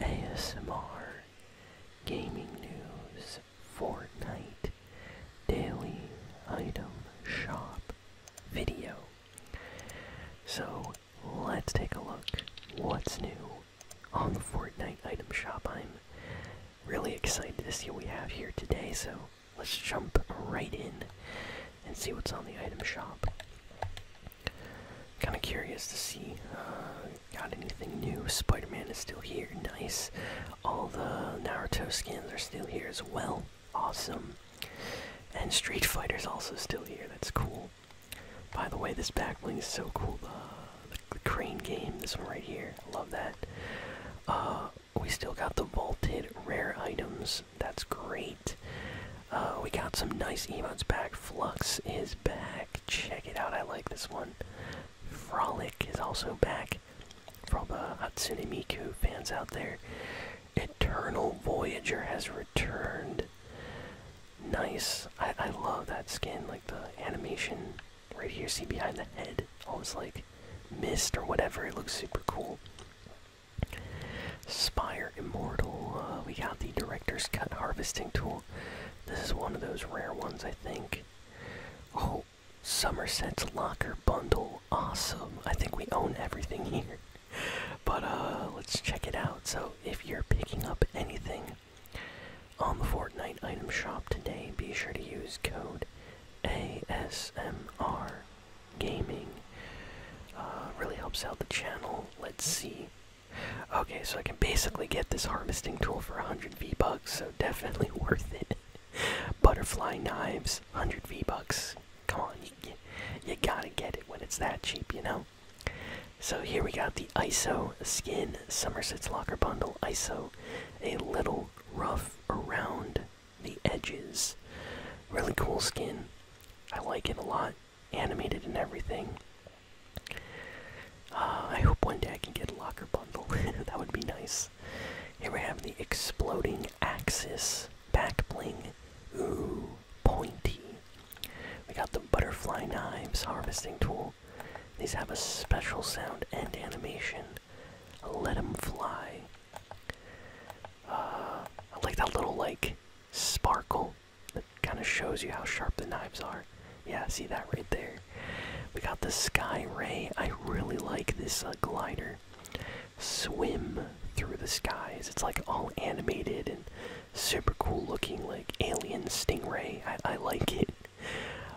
ASMR, gaming news, Fortnite, daily item shop video. So let's take a look what's new on the Fortnite item shop. I'm really excited to see what we have here today, so let's jump right in and see what's on the item shop. Kind of curious to see. Uh, got anything new? Spider Man is still here. Nice. All the Naruto skins are still here as well. Awesome. And Street Fighter's also still here. That's cool. By the way, this backling is so cool. Uh, the, crane game, this one right here. love that. Uh, we still got the vaulted rare items. That's great. Uh, we got some nice emotes back. Flux is back. Check it out. I like this one. Frolic is also back. For all the Hatsune Miku fans out there, Eternal Voyager has returned. Nice. I, I love that skin. Like the animation right here. See behind the head. Always like mist or whatever. It looks super cool. Spire Immortal. Uh, we got the Director's Cut Harvesting Tool. This is one of those rare ones, I think. Oh, Somerset's Locker Bundle. Awesome. I think we own everything here. But uh, let's check it out. So, if you're picking up anything on the Fortnite item shop today, be sure to use code ASMR Gaming. Uh, really helps out the channel. Let's see. Okay, so I can basically get this harvesting tool for 100 V-Bucks, so definitely worth it. Butterfly knives, 100 V-Bucks. Come on, you, gotta get it when it's that cheap, you know? So here we got the ISO skin Somerset's Locker Bundle ISO. A little rough around the edges. Really cool skin. I like it a lot animated and everything. Uh, I hope one day I can get a locker bundle. that would be nice. Here we have the exploding axis back bling. Ooh, pointy. We got the butterfly knives harvesting tool. These have a special sound and animation. Let them fly. Uh, I like that little like sparkle that kind of shows you how sharp the knives are. Yeah, see that right there. We got the Sky Ray. I really like this uh, glider. Swim through the skies. It's like all animated and super cool looking, like alien stingray. I, I like it.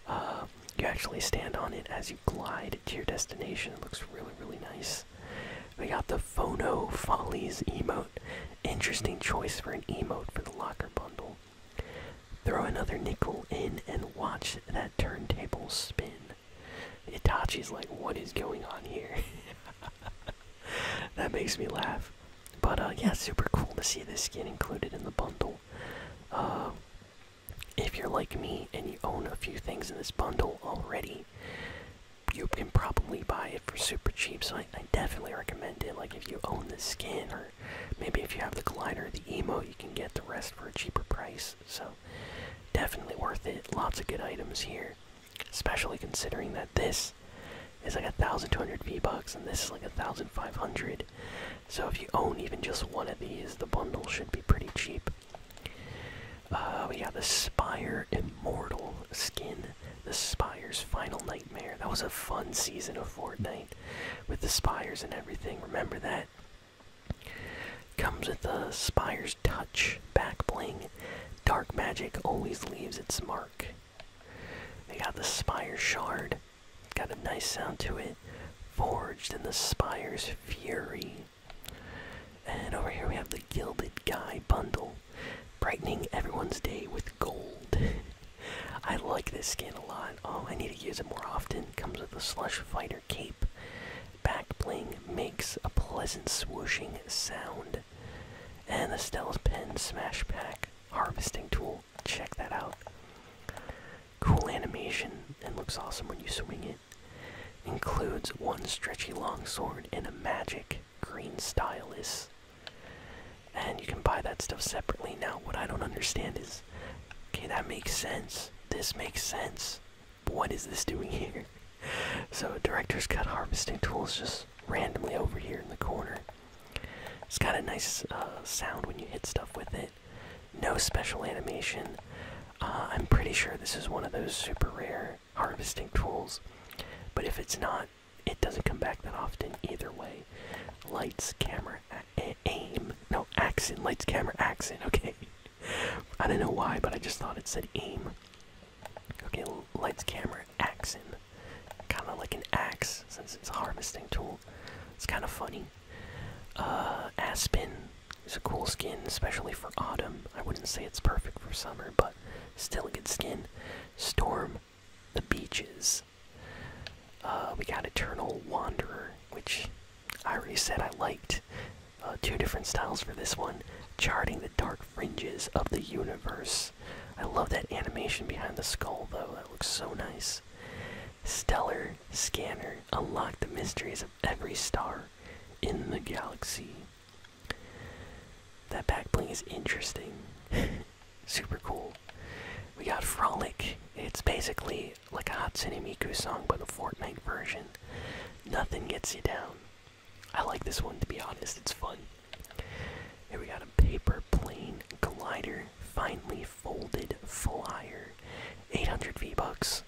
Uh, you actually stand on it as you glide to your destination. It looks really, really nice. We got the Phono Follies emote. Interesting choice for an emote for the locker bundle. Throw another nickel in and watch that turntable spin. Itachi's like, what is going on here? that makes me laugh. But uh, yeah, super cool to see this skin included in the bundle. Uh, if you're like me and you own a few things in this bundle already, you can probably buy it for super cheap, so I, definitely recommend it. Like if you own the skin, or maybe if you have the glider, the emo, you can get the rest for a cheaper price. So definitely worth it. Lots of good items here, especially considering that this is like a thousand two hundred V bucks, and this is like a thousand five hundred. So if you own even just one of these, the bundle should be pretty cheap. Uh, we have the Spire Immortal skin. The Spire's Final Nightmare. That was a fun season of Fortnite with the Spires and everything. Remember that? Comes with the Spire's Touch back bling. Dark Magic always leaves its mark. They got the Spire Shard. got a nice sound to it. Forged in the Spire's Fury. And over here we have the Gilded Guy bundle brightening everyone's day with gold. I like this skin a lot. Oh, I need to use it more often. Comes with a slush fighter cape. Back bling makes a pleasant swooshing sound. And the Stella's Pen Smash Pack harvesting tool. Check that out. Cool animation and looks awesome when you swing it. Includes one stretchy long sword and a magic green stylus and you can buy that stuff separately now what i don't understand is okay that makes sense this makes sense but what is this doing here so director's cut harvesting tools just randomly over here in the corner it's got a nice uh, sound when you hit stuff with it no special animation uh, i'm pretty sure this is one of those super rare harvesting tools but if it's not it doesn't come back that often either way. Lights, camera, aim. No, accent. Lights, camera, accent. Okay. I don't know why, but I just thought it said aim. Okay, lights, camera, accent. Kind of like an axe, since it's a harvesting tool. It's kind of funny. Uh, aspen is a cool skin, especially for autumn. I wouldn't say it's perfect for summer, but still a good skin. Storm the Beaches. Uh, we got Eternal Wanderer, which I already said I liked. Uh, two different styles for this one. Charting the dark fringes of the universe. I love that animation behind the skull, though. That looks so nice. Stellar Scanner. Unlock the mysteries of every star in the galaxy. That back bling is interesting. Super cool. We got Frolic. It's basically like a Hatsune Miku song, but a Fortnite version. Nothing gets you down. I like this one to be honest, it's fun. Here we got a paper plane glider, finely folded flyer. 800 V-Bucks.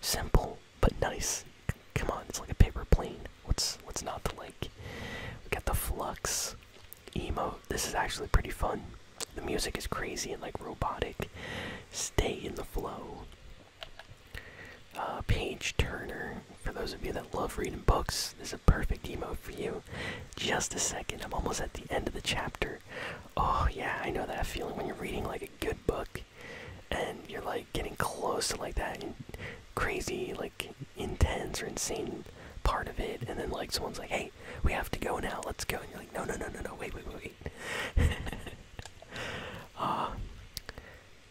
Simple, but nice come on, it's like a paper plane. What's what's not to like? We got the flux emo. This is actually pretty fun. The music is crazy and like robotic. Stay in the flow. Uh, page Turner. For those of you that love reading books, this is a perfect emo for you. Just a second, I'm almost at the end of the chapter. Oh yeah, I know that feeling when you're reading like a good book and you're like getting close to like that crazy like intense or insane part of it, and then like someone's like, "Hey, we have to go now. Let's go." And you're like, "No, no, no, no, no. Wait, wait, wait, wait." Uh,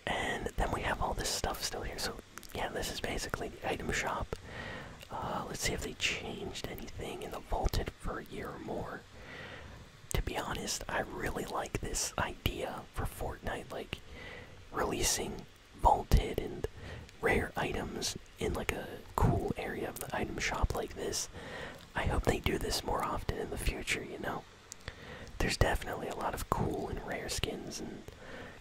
and then we have all this stuff still here. So yeah, this is basically the item shop. Uh, let's see if they changed anything in the vaulted for a year or more. To be honest, I really like this idea for Fortnite, like releasing vaulted and rare items in like a cool area of the item shop like this. I hope they do this more often in the future, you know. There's definitely a lot of cool and rare skins and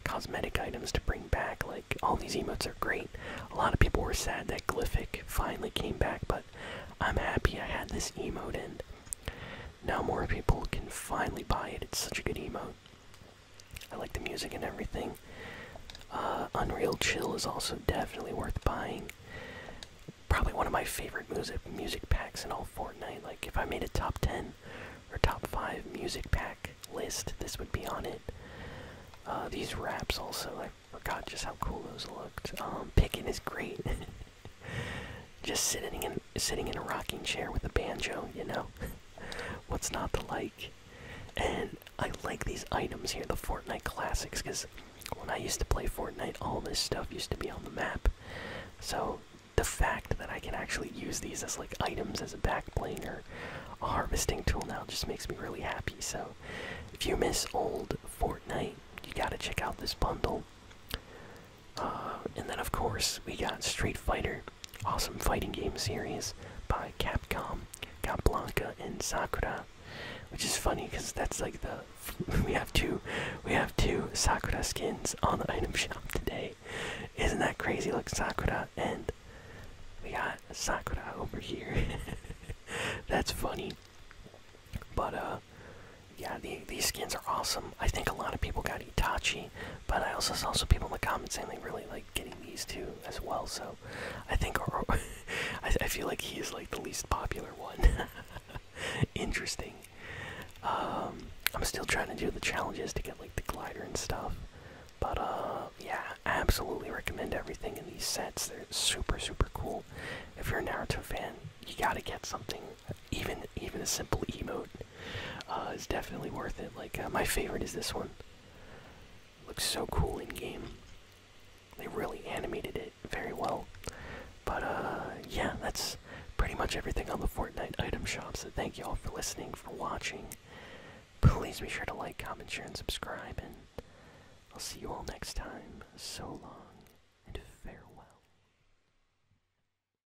cosmetic items to bring back. Like, all these emotes are great. A lot of people were sad that Glyphic finally came back, but I'm happy I had this emote, and now more people can finally buy it. It's such a good emote. I like the music and everything. Uh, Unreal Chill is also definitely worth buying. Probably one of my favorite music music packs in all Fortnite. Like if I made a top ten or top five music pack list, this would be on it. Uh, these wraps also, I forgot just how cool those looked. Um, picking is great. just sitting in sitting in a rocking chair with a banjo, you know? What's not to like? And I like these items here, the Fortnite classics, because when I used to play Fortnite, all this stuff used to be on the map. So the fact that I can actually use these as like items as a backplane or a harvesting tool now just makes me really happy. So if you miss old Fortnite, you gotta check out this bundle. Um, and then, of course, we got Street Fighter, awesome fighting game series by Capcom. Got Blanca and Sakura, which is funny because that's like the we have two we have two Sakura skins on the item shop today. Isn't that crazy? Look, Sakura and we got Sakura over here. that's funny. But uh, yeah, these skins are awesome. I think a lot of people got Itachi, but I also saw some people in the comments saying they really like getting these too as well. So I think I, feel like he is like the least popular one. Interesting. Um, I'm still trying to do the challenges to get like the glider and stuff, but uh, yeah, absolutely recommend everything in these sets. They're super super cool. If you're a Naruto fan, you gotta get something even even a simple emote uh, is definitely worth it. Like uh, my favorite is this one. Looks so cool in game. They really animated it very well. But uh, yeah, that's pretty much everything on the Fortnite item shop. So thank you all for listening, for watching. Please be sure to like, comment, share, and subscribe. And I'll see you all next time. So long and farewell.